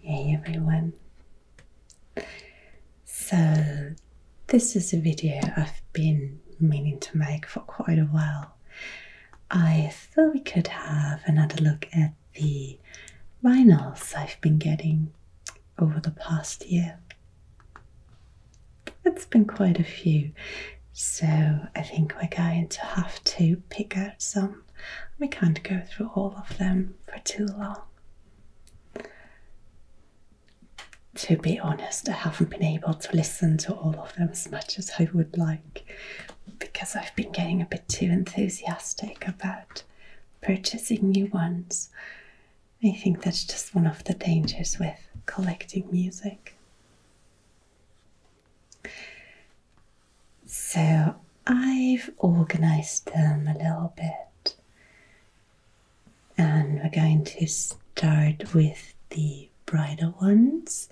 Hey everyone! So, this is a video I've been meaning to make for quite a while. I thought we could have another look at the vinyls I've been getting over the past year. It's been quite a few, so I think we're going to have to pick out some we can't go through all of them for too long. To be honest, I haven't been able to listen to all of them as much as I would like because I've been getting a bit too enthusiastic about purchasing new ones. I think that's just one of the dangers with collecting music. So I've organized them a little bit. And we're going to start with the brighter ones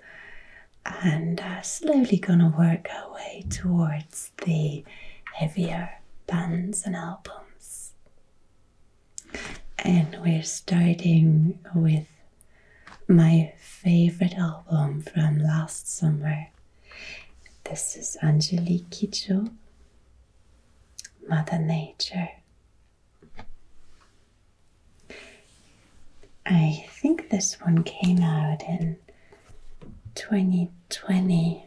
and slowly going to work our way towards the heavier bands and albums. And we're starting with my favorite album from last summer this is Angelique Jo, Mother Nature. I think this one came out in 2020.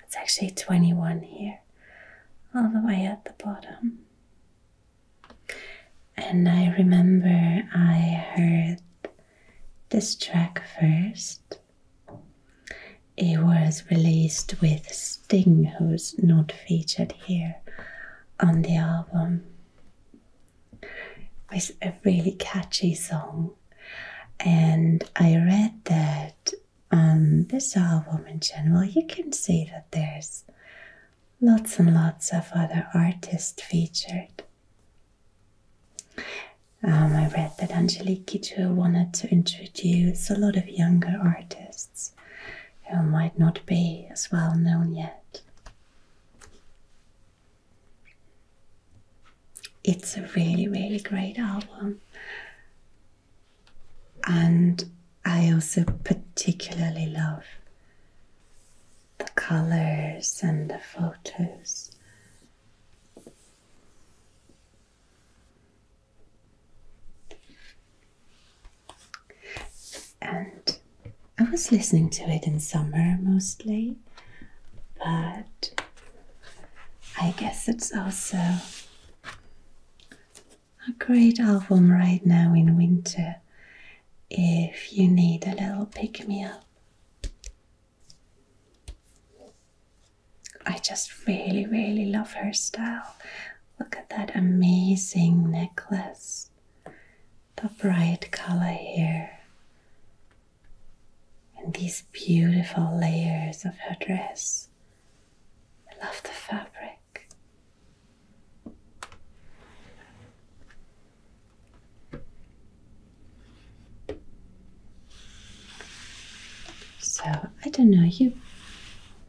It's actually 21 here, all the way at the bottom. And I remember I heard this track first. It was released with Sting, who's not featured here on the album. It's a really catchy song, and I read that on this album in general, you can see that there's lots and lots of other artists featured. Um, I read that Angelique Kidjo wanted to introduce a lot of younger artists who might not be as well known yet. It's a really, really great album. And I also particularly love the colors and the photos. And I was listening to it in summer mostly, but I guess it's also a great album right now in winter if you need a little pick me up. I just really, really love her style. Look at that amazing necklace. The bright color here. And these beautiful layers of her dress. I love the fabric. So, I don't know, you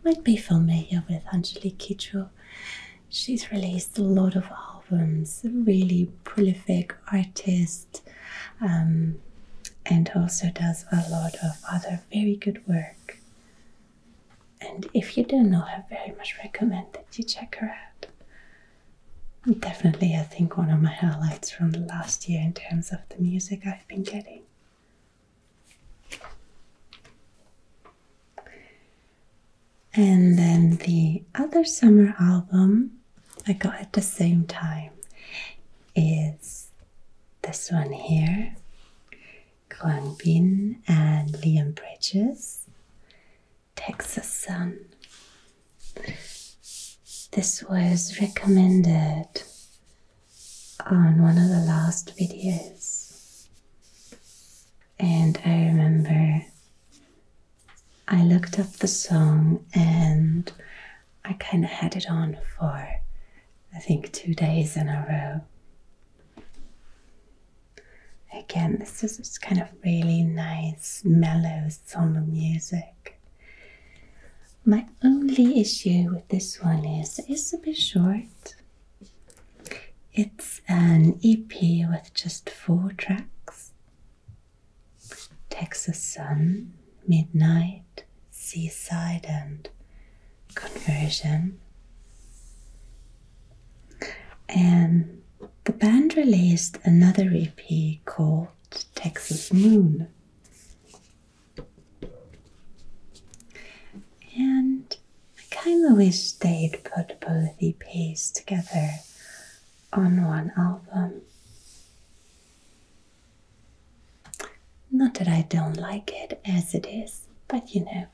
might be familiar with Angelique Kidjo. She's released a lot of albums, a really prolific artist, um, and also does a lot of other very good work. And if you don't know her very much, recommend that you check her out. Definitely, I think one of my highlights from the last year in terms of the music I've been getting. And then the other summer album I got at the same time is this one here Kwang Bin and Liam Bridges. Texas Sun. This was recommended on one of the last videos, and I remember I looked up the song and I kind of had it on for I think two days in a row. Again, this is just kind of really nice, mellow, somber music. My only issue with this one is it's a bit short. It's an EP with just four tracks Texas Sun, Midnight, Seaside, and Conversion. And the band released another EP called Texas Moon. And I kind of wish they'd put both EPs together on one album. Not that I don't like it as it is, but you know,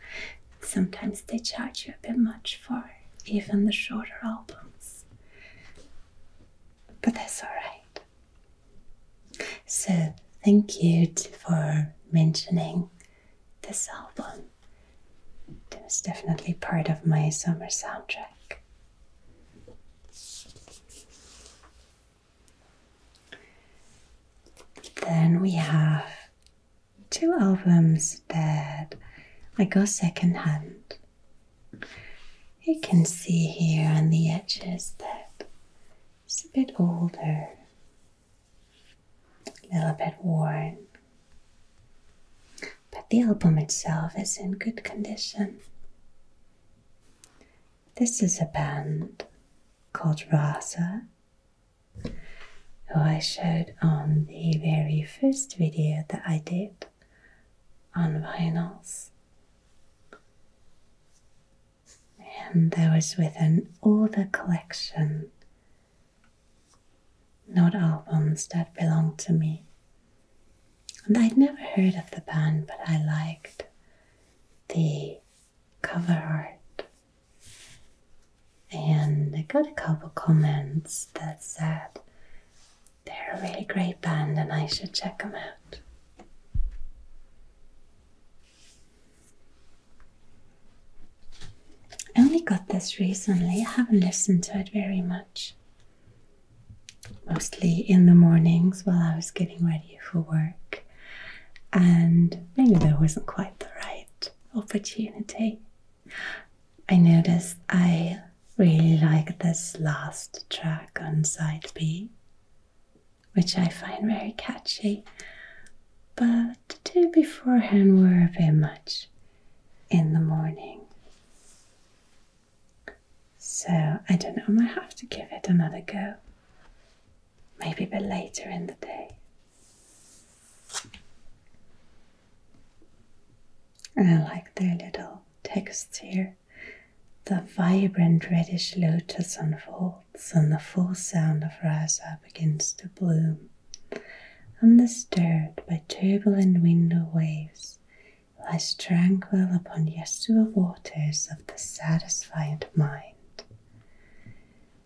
sometimes they charge you a bit much for even the shorter albums. But that's alright. So, thank you to, for mentioning this album. It was definitely part of my summer soundtrack. Then we have two albums that I go second hand. You can see here on the edges that it's a bit older, a little bit worn. But the album itself is in good condition. This is a band called Rasa, who I showed on the very first video that I did on vinyls. And there was with an older collection, not albums that belonged to me. And I'd never heard of the band, but I liked the cover art. And I got a couple comments that said they're a really great band and I should check them out. I only got this recently, I haven't listened to it very much. Mostly in the mornings while I was getting ready for work, and maybe there wasn't quite the right opportunity I notice I really like this last track on side B, which I find very catchy, but the two beforehand were a bit much in the morning. So I don't know, I might have to give it another go. Maybe a bit later in the day. I like their little texts here. The vibrant reddish lotus unfolds, and the full sound of rasa begins to bloom. Undisturbed by turbulent window waves, lies tranquil upon the Yasua waters of the satisfied mind.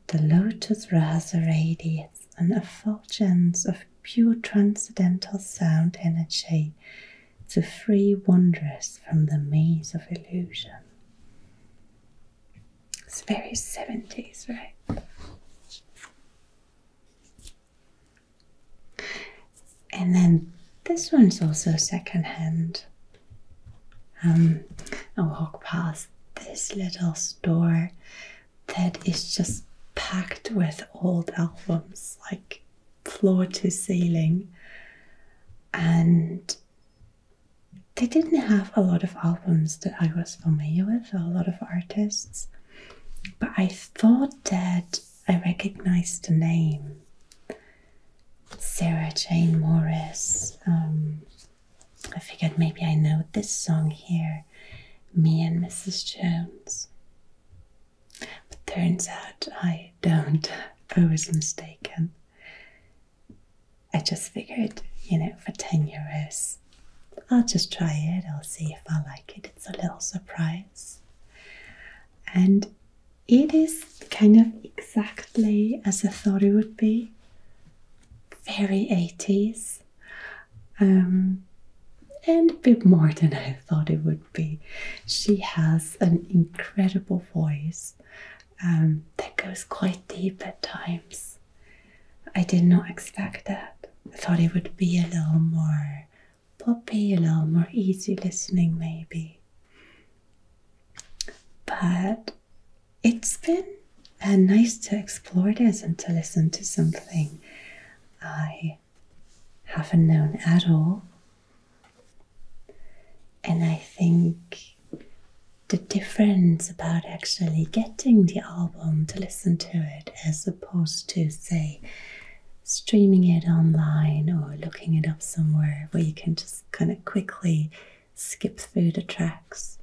The lotus rasa radiates an effulgence of pure transcendental sound energy to free wanderers from the maze of illusion. It's very 70s, right? And then this one's also secondhand. Um, I walk past this little store that is just packed with old albums, like floor to ceiling. And they didn't have a lot of albums that I was familiar with, a lot of artists, but I thought that I recognized the name Sarah Jane Morris. Um, I figured maybe I know this song here me and Mrs. Jones. But turns out I don't. I was mistaken. I just figured, you know, for 10 euros, I'll just try it, I'll see if I like it. It's a little surprise. And it is kind of exactly as I thought it would be. Very 80s. Um, and a bit more than I thought it would be. She has an incredible voice um, that goes quite deep at times. I did not expect that. I thought it would be a little more poppy, a little more easy listening, maybe. But it's been uh, nice to explore this and to listen to something I haven't known at all. And I think the difference about actually getting the album to listen to it as opposed to, say, streaming it online or looking it up somewhere where you can just kind of quickly skip through the tracks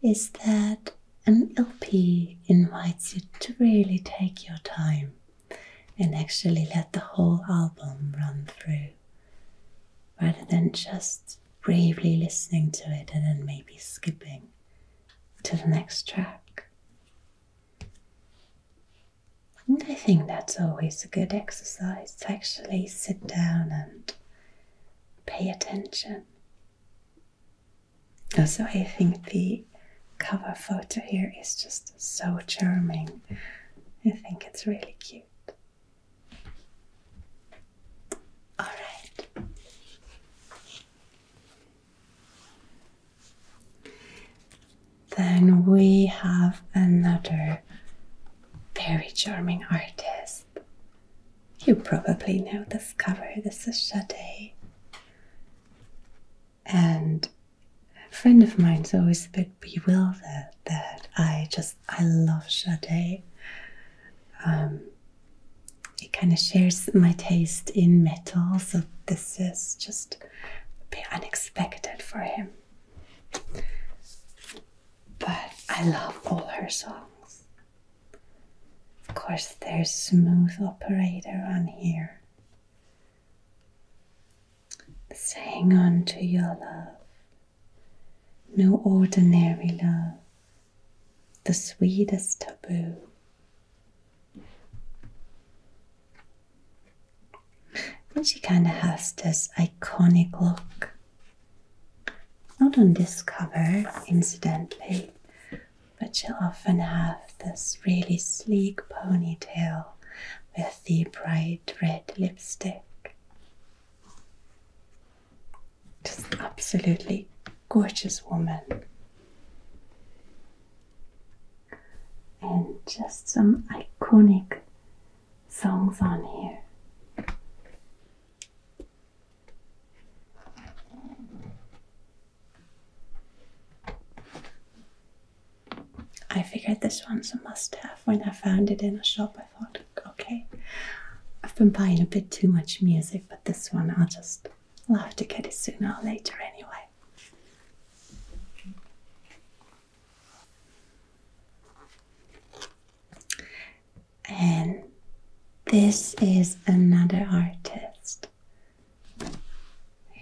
is that an LP invites you to really take your time and actually let the whole album run through rather than just briefly listening to it and then maybe skipping to the next track. And I think that's always a good exercise to actually sit down and pay attention also, I think the cover photo here is just so charming. I think it's really cute. All right. Then we have another very charming artist. You probably know this cover. This is Sade and a friend of mine is always a bit bewildered that I just, I love Sade. it um, kind of shares my taste in metal, so this is just a bit unexpected for him. But I love all her songs. Of course, there's smooth operator on here. So hang on to your love, no ordinary love, the sweetest taboo. And she kind of has this iconic look. Not on this cover, incidentally, but she often has this really sleek ponytail with the bright red lipstick. Just absolutely gorgeous woman. And just some iconic songs on here. I figured this one's a must have when I found it in a shop. I thought, okay, I've been buying a bit too much music, but this one I'll just love to get it sooner or later anyway. And this is another artist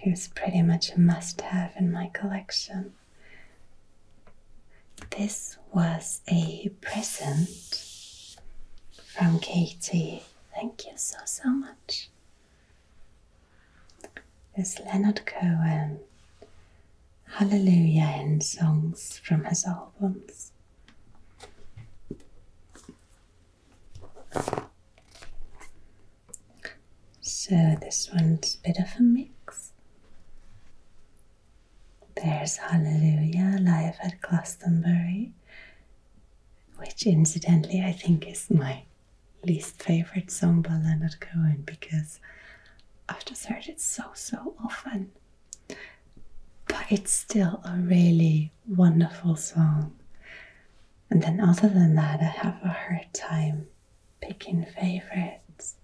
who's pretty much a must have in my collection. This was a present from Katie. Thank you so, so much. This Leonard Cohen Hallelujah and songs from his albums. So this one's a bit of a mix. There's Hallelujah live at Glastonbury, which incidentally I think is my least favorite song by Leonard Cohen because I've just heard it so so often. But it's still a really wonderful song. And then, other than that, I have a hard time picking favorites.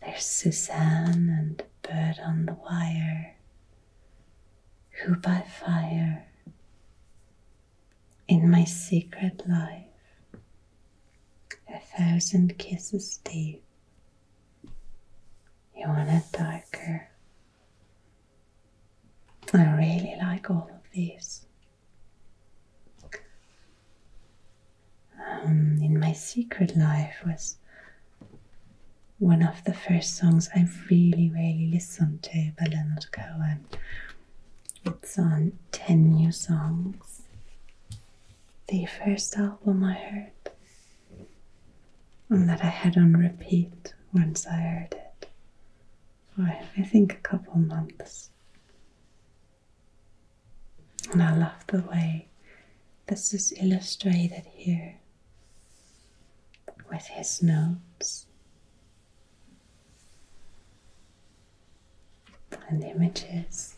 There's Suzanne and Bird on the Wire, Who by Fire, In My Secret Life, A Thousand Kisses Deep. You want it darker, I really like all of these. Um, in my secret life was one of the first songs I really, really listened to by Leonard Cohen. It's on 10 new songs. The first album I heard and that I had on repeat once I heard it for I think a couple months. And I love the way this is illustrated here with his notes and images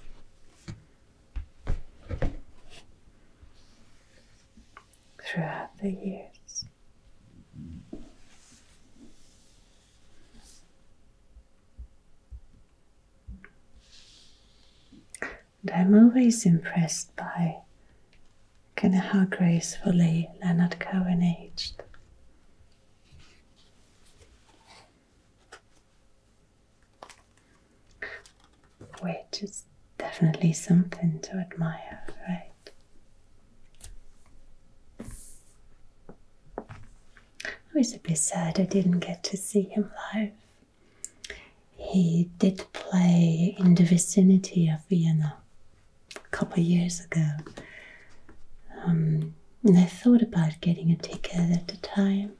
throughout the years. And I'm always impressed by kind of how gracefully Leonard Cohen aged. Which is definitely something to admire, right? I was a bit sad I didn't get to see him live. He did play in the vicinity of Vienna a couple of years ago. Um, and I thought about getting a ticket at the time,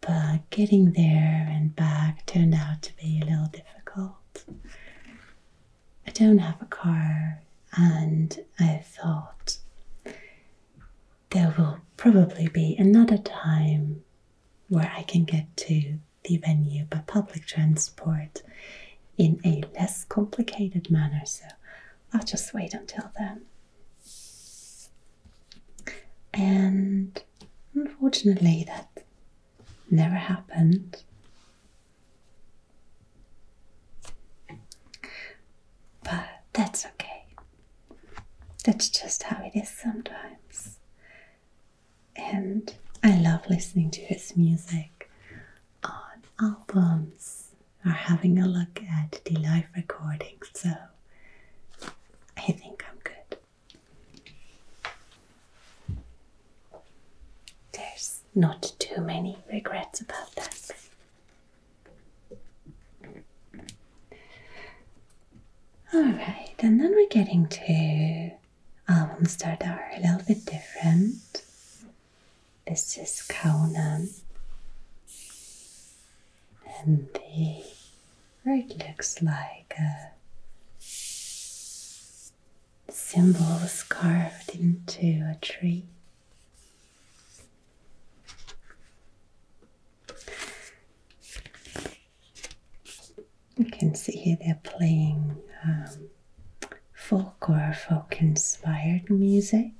but getting there and back turned out to be a little difficult. I don't have a car, and I thought there will probably be another time where I can get to the venue by public transport in a less complicated manner, so I'll just wait until then. And unfortunately, that never happened. But that's okay. That's just how it is sometimes. And I love listening to his music on albums or having a look at the live recordings. So I think I'm good. There's not too many regrets about that. Alright, and then we're getting to albums that are a little bit different. This is Conan. And the where it looks like a symbols carved into a tree. You can see here they're playing um, folk or folk inspired music.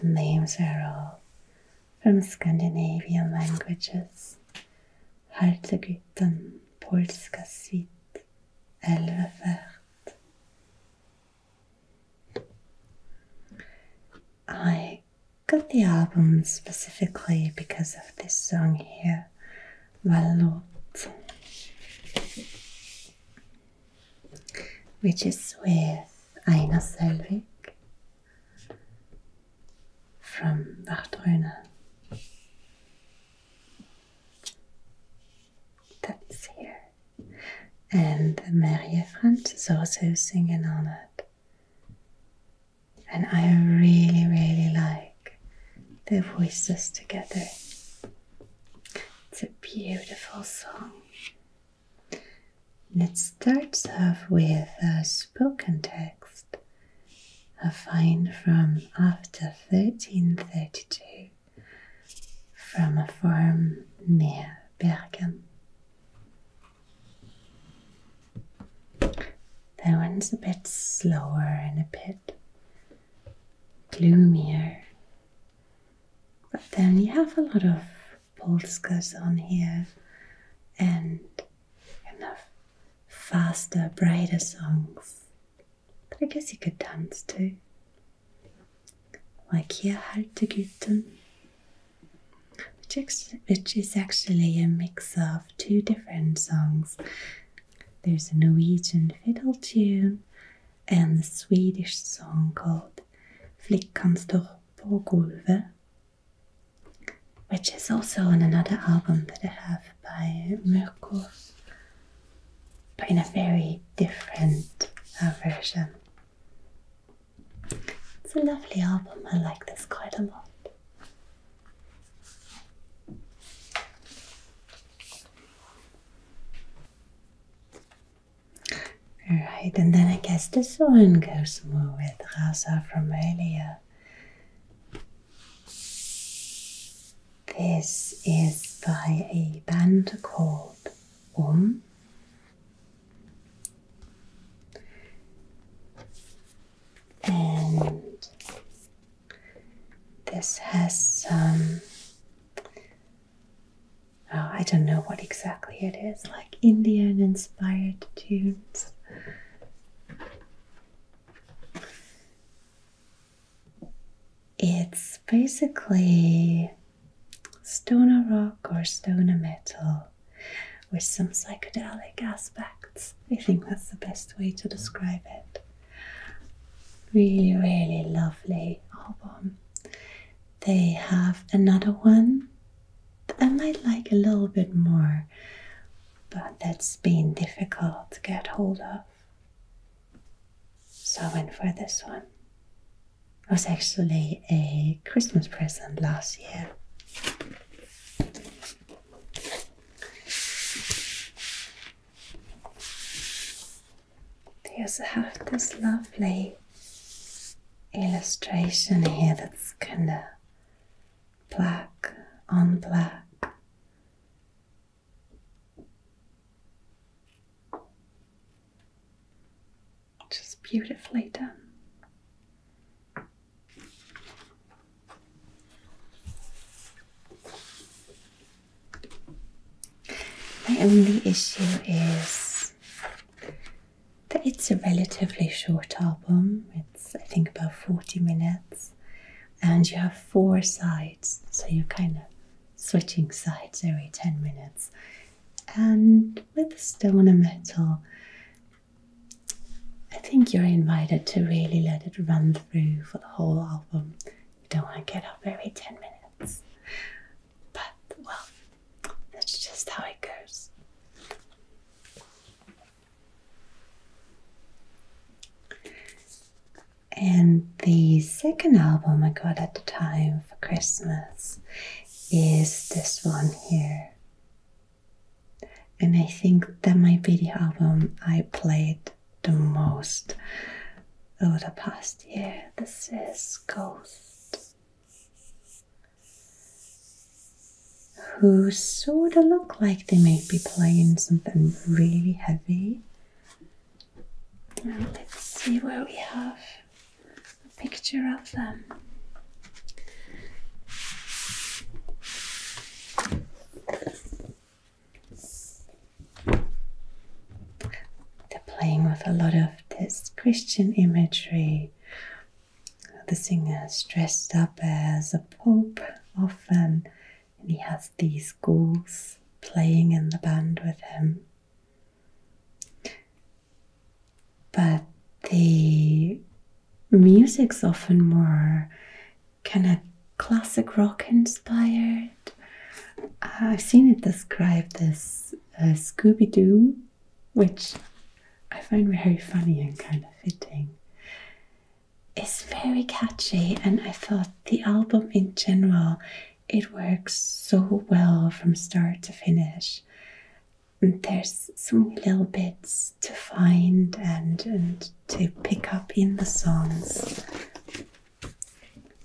The names are all from Scandinavian languages. Haltegutten, polska suite, Elvefärt. I got the album specifically because of this song here, Valot, which is with Aina Selvik from Vardruna. That's here. And Maria Front is also singing on it. And I really, really like their voices together. It's a beautiful song. It starts off with a spoken text, a find from after 1332 from a farm near Bergen. That one's a bit slower and a bit gloomier. But then you have a lot of Polskas on here and kind faster, brighter songs. But I guess you could dance to, Like Hier Haltegutten, which, which is actually a mix of two different songs. There's a Norwegian fiddle tune and a Swedish song called Flickan står på golvet which is also on another album that I have by Mirko, but in a very different uh, version. It's a lovely album, I like this quite a lot. Alright, and then I guess this one goes more with Rasa from earlier. This is by a band called Um. And this has some. Oh, I don't know what exactly it is. like. Indian inspired tunes. It's basically stoner rock or stoner metal with some psychedelic aspects. I think that's the best way to describe it. Really, really lovely album. They have another one I might like a little bit more, but that's been difficult to get hold of. So I went for this one. It was actually a Christmas present last year. They also have this lovely illustration here that's kind of black on black. Just beautifully done. My only issue is it's a relatively short album. It's, I think, about 40 minutes. And you have four sides, so you're kind of switching sides every 10 minutes. And with Stone and Metal, I think you're invited to really let it run through for the whole album. You don't want to get up every 10 minutes. But, well, that's just how it goes. And the second album I got at the time for Christmas is this one here. And I think that my video album I played the most over the past year. This is Ghost who sort of look like they may be playing something really heavy. let's see where we have a picture of them. They're playing with a lot of this Christian imagery the singer is dressed up as a pope often, and he has these ghouls playing in the band with him. But the music's often more kind of classic rock inspired. I've seen it described as uh, Scooby Doo which I find very funny and kind of fitting. It's very catchy, and I thought the album in general it works so well from start to finish. And there's so many little bits to find and and to pick up in the songs,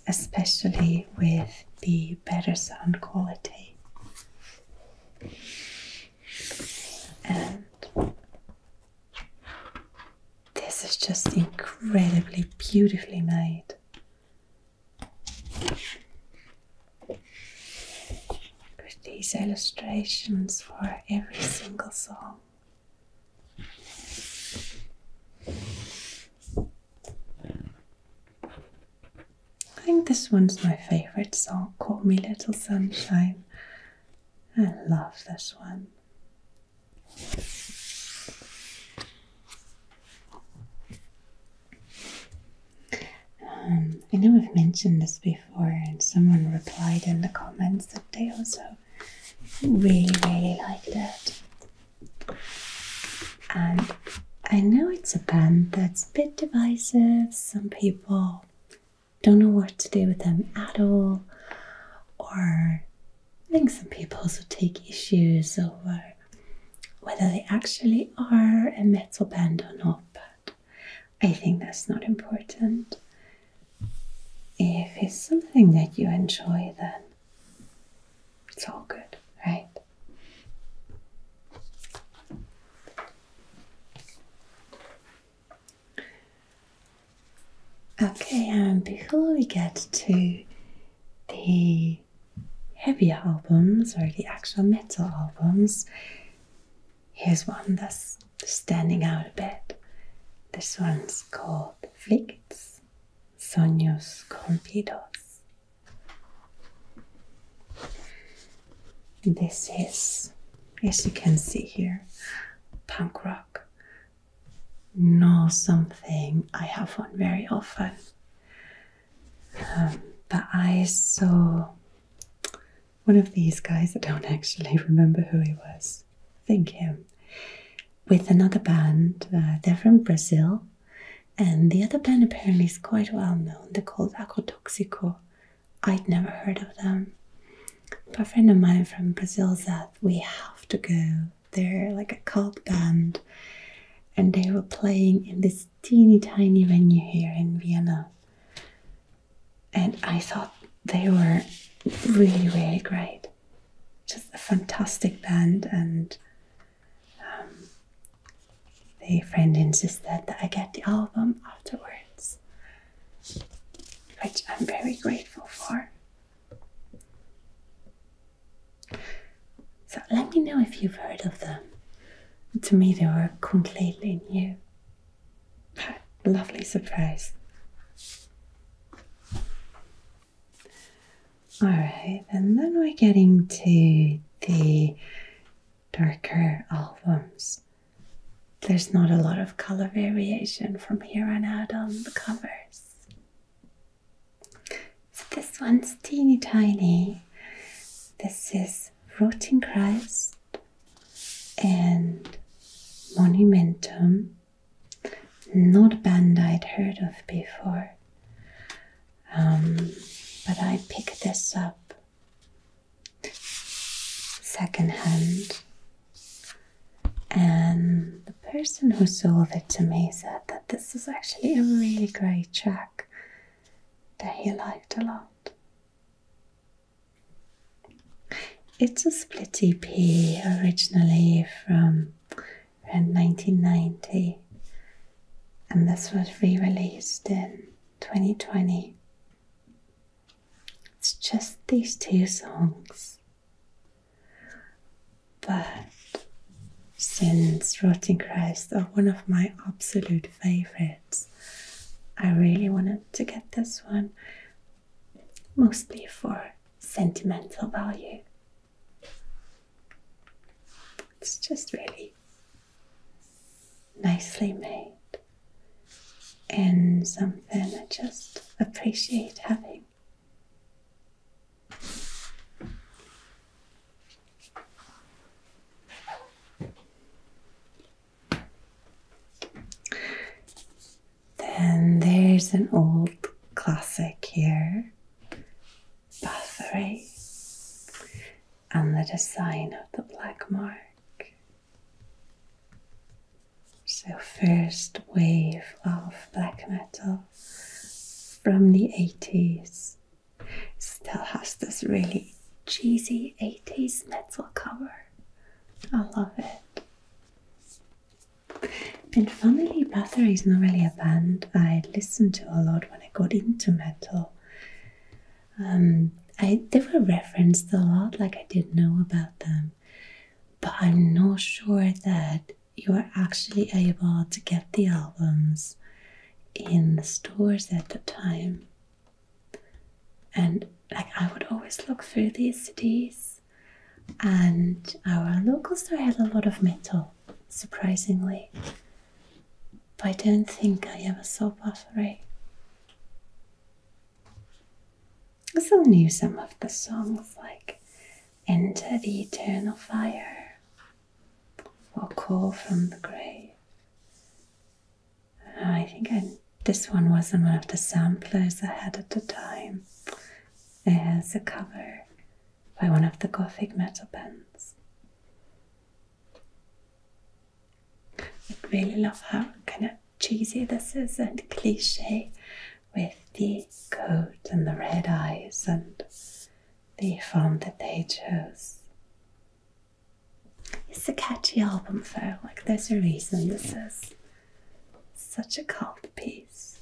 especially with the better sound quality and this is just incredibly beautifully made. With these illustrations for every single song. I think this one's my favorite song, Call Me Little Sunshine. I love this one. Um, I know I've mentioned this before, and someone replied in the comments that they also really, really liked it. And I know it's a band that's a bit divisive. Some people don't know what to do with them at all, or I think some people also take issues over whether they actually are a metal band or not, but I think that's not important. If it's something that you enjoy, then it's all good, right? Okay, and before we get to the heavier albums or the actual metal albums, here's one that's standing out a bit. This one's called Flicts Sonios Corrompidos. This is, as you can see here, punk rock. No, something I have on very often. Um, but I saw one of these guys, I don't actually remember who he was, Thank think him, with another band. Uh, they're from Brazil, and the other band apparently is quite well known. They're called Acotoxico, I'd never heard of them. But a friend of mine from Brazil said, We have to go. They're like a cult band. And they were playing in this teeny tiny venue here in Vienna. And I thought they were really, really great. Just a fantastic band. And um, the friend insisted that I get the album afterwards, which I'm very grateful for. So let me know if you've heard of them. To me, they were completely new. Lovely surprise. All right, and then we're getting to the darker albums. There's not a lot of color variation from here on out on the covers. So this one's teeny tiny. This is Rotting Christ and Monumentum. Not a band I'd heard of before. Um, but I picked this up second hand. And the person who sold it to me said that this is actually a really great track that he liked a lot. It's a split EP originally from around 1990, and this was re released in 2020. It's just these two songs. But since Rotting Christ are one of my absolute favorites, I really wanted to get this one mostly for sentimental value. It's just really nicely made and something I just appreciate having. Then there's an old classic here, Bathory and the design of the black mark. So, first wave of black metal from the 80s still has this really cheesy 80s metal cover. I love it. And funnily, Bathory is not really a band I listened to a lot when I got into metal. Um, I they were referenced a lot, like I did not know about them, but I'm not sure that you were actually able to get the albums in the stores at the time. And like I would always look through these CDs, and our local store had a lot of metal, surprisingly. But I don't think I ever saw Buffery. I still knew some of the songs like Enter the Eternal Fire or Call from the Grave. Uh, I think this one was not one of the samplers I had at the time as a cover by one of the gothic metal bands. I really love how kind of cheesy this is and cliche with the coat and the red eyes and the font that they chose. It's a catchy album though, like there's a reason this is such a cult piece.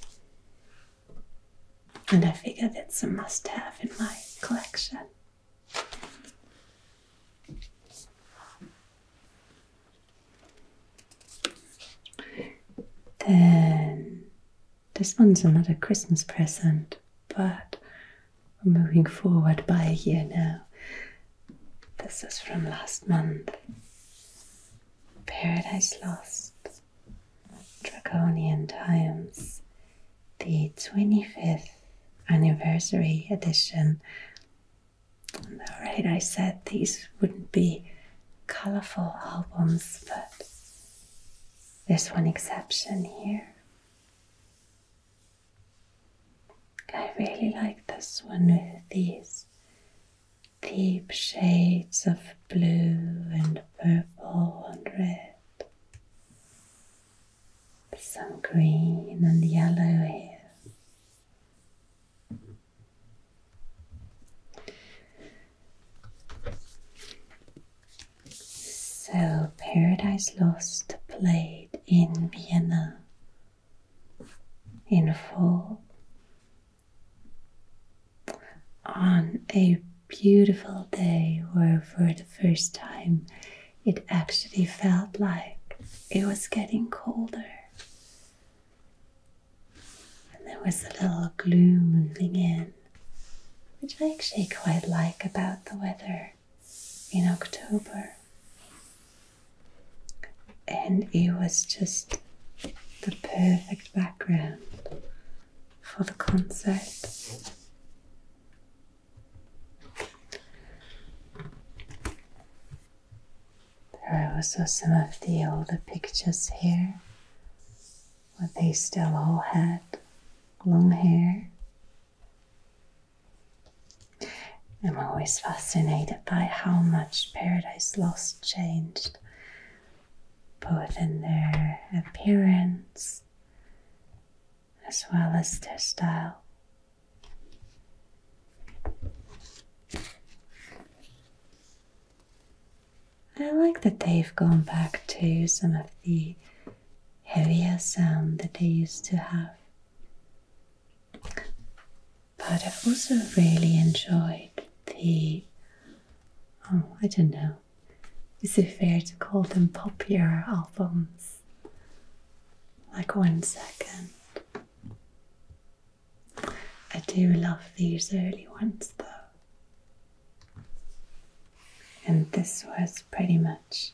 And I figure that's a must have in my collection. Then this one's another Christmas present, but we're moving forward by a year now. This is from last month. Paradise Lost, Dragonian Times the 25th anniversary edition. Alright, I said these wouldn't be colorful albums, but there's one exception here. I really like this one with these deep shades of blue and purple and red some green and yellow here. So, Paradise Lost played in Vienna in full on a beautiful day where, for the first time, it actually felt like it was getting colder. And there was a little gloom moving in, which I actually quite like about the weather in October. And it was just the perfect background for the concert. There are also some of the older pictures here where they still all had long hair. I'm always fascinated by how much Paradise Lost changed, both in their appearance as well as their style. I like that they've gone back to some of the heavier sound that they used to have. But I have also really enjoyed the, oh, I don't know, is it fair to call them popular albums? like one second. I do love these early ones though. And this was pretty much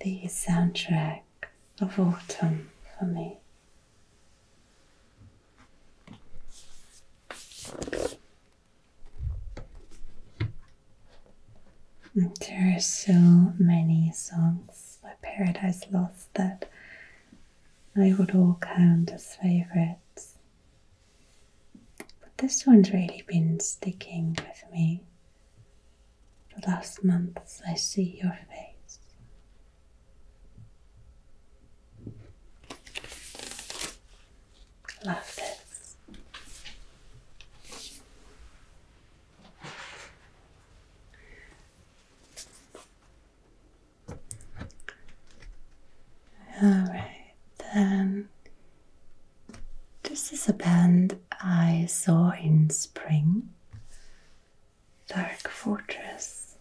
the soundtrack of autumn for me. There are so many songs by Paradise Lost that I would all count as favorites. But this one's really been sticking with me the last months I see your face. Love this. Alright, then this is a band I saw in spring. Dark Fortress.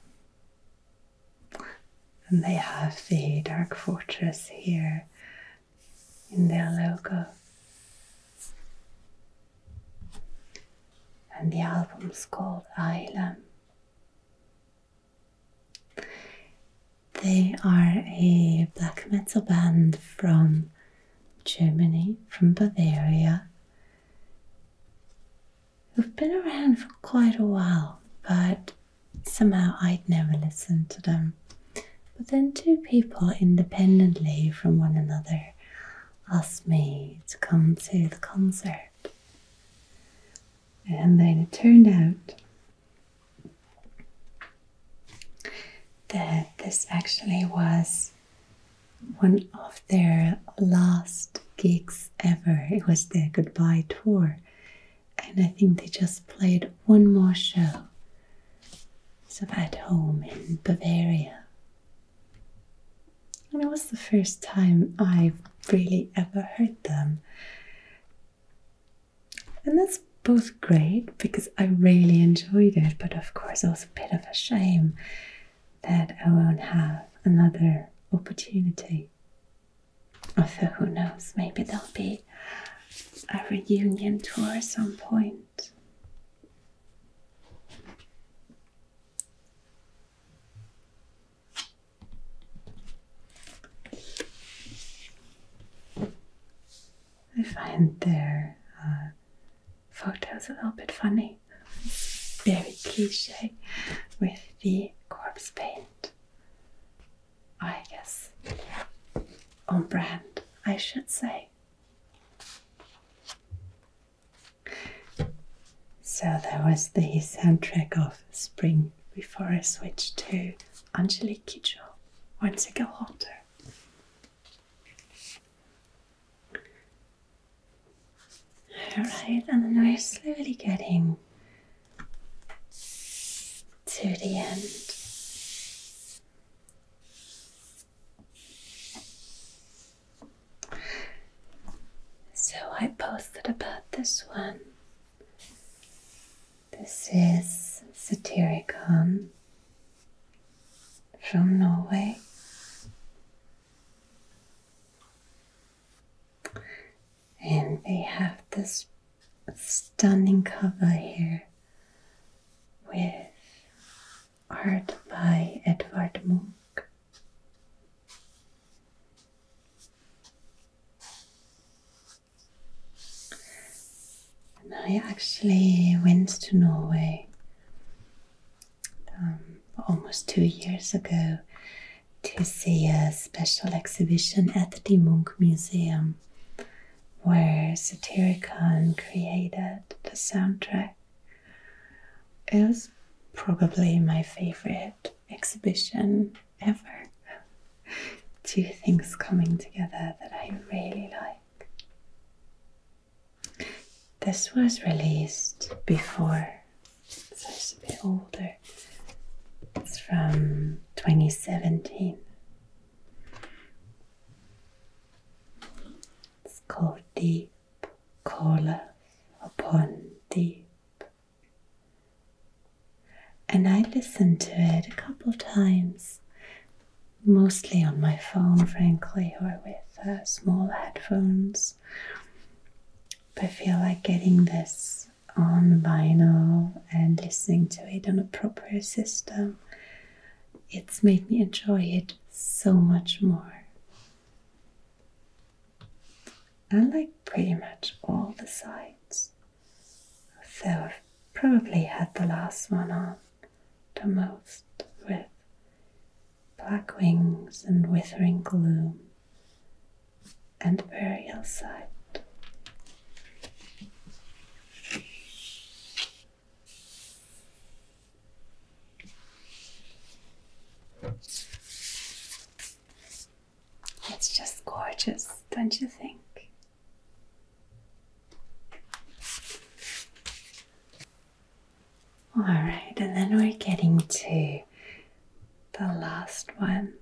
And they have the Dark Fortress here in their logo. And the album's called Island. They are a black metal band from Germany, from Bavaria. they have been around for quite a while, but somehow I'd never listened to them. But then two people independently from one another asked me to come to the concert. And then it turned out that this actually was one of their last gigs ever. It was their goodbye tour. And I think they just played one more show so I'm at home in Bavaria. And it was the first time I've really ever heard them. And that's both great because I really enjoyed it, but of course, it was a bit of a shame that I won't have another opportunity. Although, who knows, maybe there'll be a reunion tour at some point. I find their uh, photos a little bit funny. very cliche with the corpse paint. I guess on brand, I should say. So there was the soundtrack of Spring before I switched to Angelique Kidjo, Once I Go Hotter. Alright, and then we're slowly getting to the end. So I posted about this one. This is Satyricon from Norway. And they have this stunning cover here with art by Edvard Munch. And I actually went to Norway um, almost two years ago to see a special exhibition at the Munch Museum where Satyricon created the soundtrack. It was probably my favorite exhibition ever. Two things coming together that I really like. This was released before, so it's a bit older. It's from 2017. It's called deep calleth upon deep. And I listen to it a couple times, mostly on my phone, frankly, or with uh, small headphones. But I feel like getting this on vinyl and listening to it on a proper system it's made me enjoy it so much more. I like pretty much all the sides, though I've probably had the last one on the most with black wings and withering gloom and burial site. It's just gorgeous, don't you think? All right, and then we're getting to the last one.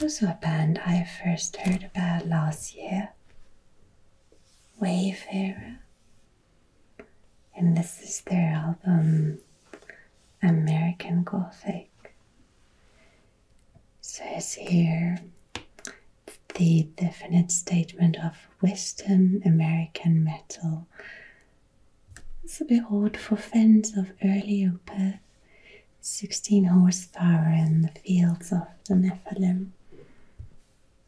Also, a band I first heard about last year Wayfarer, and this is their album American Gothic. It is here the definite statement of Western American metal. It's a bit odd for fans of early Opeth 16 horsepower in the fields of the Nephilim.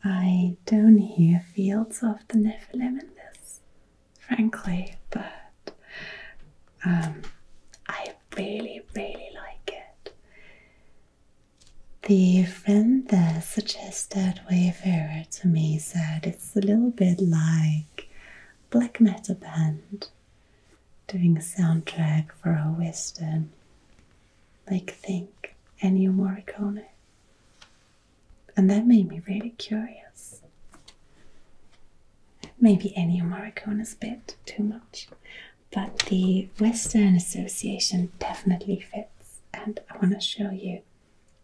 I don't hear fields of the Nephilim in this, frankly, but um, I really, really like it. The friend that suggested Wayfarer to me said it's a little bit like black metal band doing a soundtrack for a western, like think Ennio Morricone. And that made me really curious. Maybe Ennio Morricone is a bit too much, but the Western Association definitely fits, and I want to show you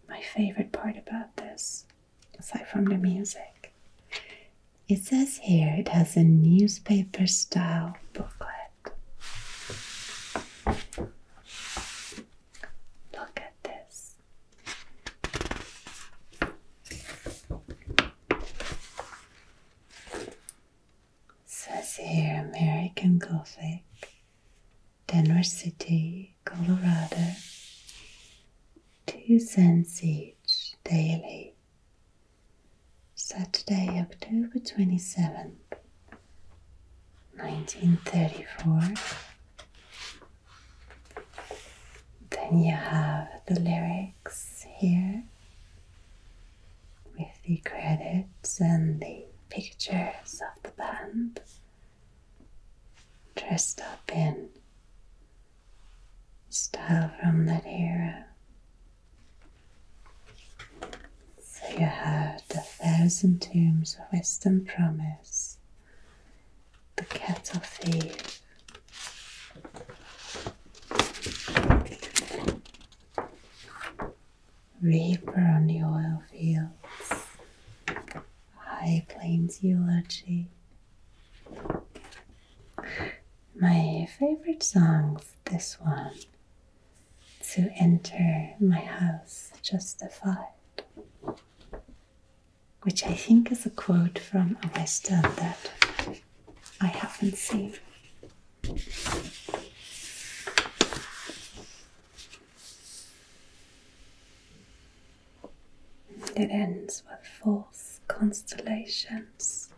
my favorite part about this, aside from the music, it says here it has a newspaper style booklet. Look at this. It says here American Gothic, Denver City, Colorado. Two cents each daily. Saturday, October 27th, 1934. Then you have the lyrics here with the credits and the pictures of the band dressed up in style from that era. So you heard a thousand tombs of western promise, the kettle thief. Reaper on the oil fields, High Plains eulogy, my favorite song, this one. To enter my house justified, which I think is a quote from a western that I haven't seen. It ends with false constellations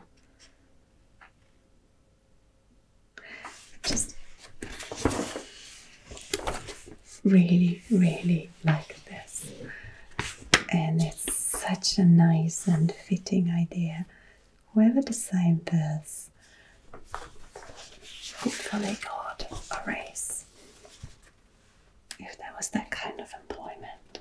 just really, really like this, and it's such a nice and fitting idea. Whoever designed this, hopefully, got a raise if there was that kind of employment.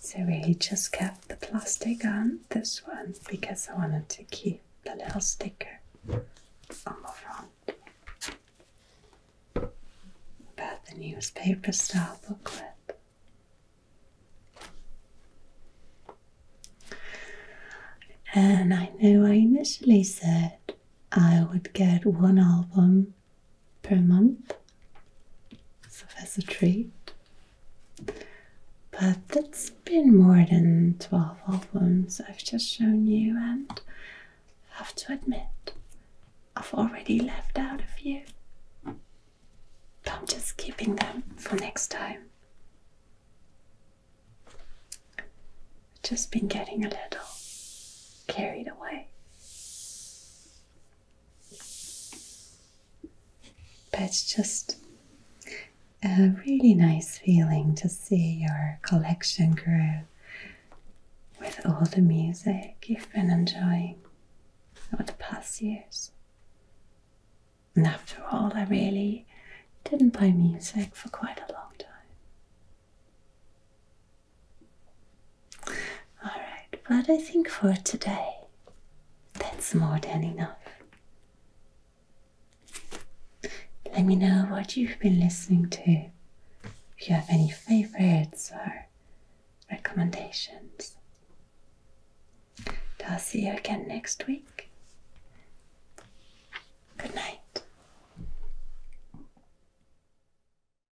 So we just kept the plastic on this one because I wanted to keep the little sticker on the front about the newspaper style booklet. And I know I initially said I would get one album per month. So that's a treat. But it's been more than 12 albums I've just shown you, and I have to admit, I've already left out a few. I'm just keeping them for next time. I've just been getting a little carried away. But it's just a really nice feeling to see your collection grow with all the music you've been enjoying over the past years. And after all, I really didn't play music for quite a long time. All right, but I think for today, that's more than enough. Let me know what you've been listening to, if you have any favorites or recommendations. I'll see you again next week. Good night.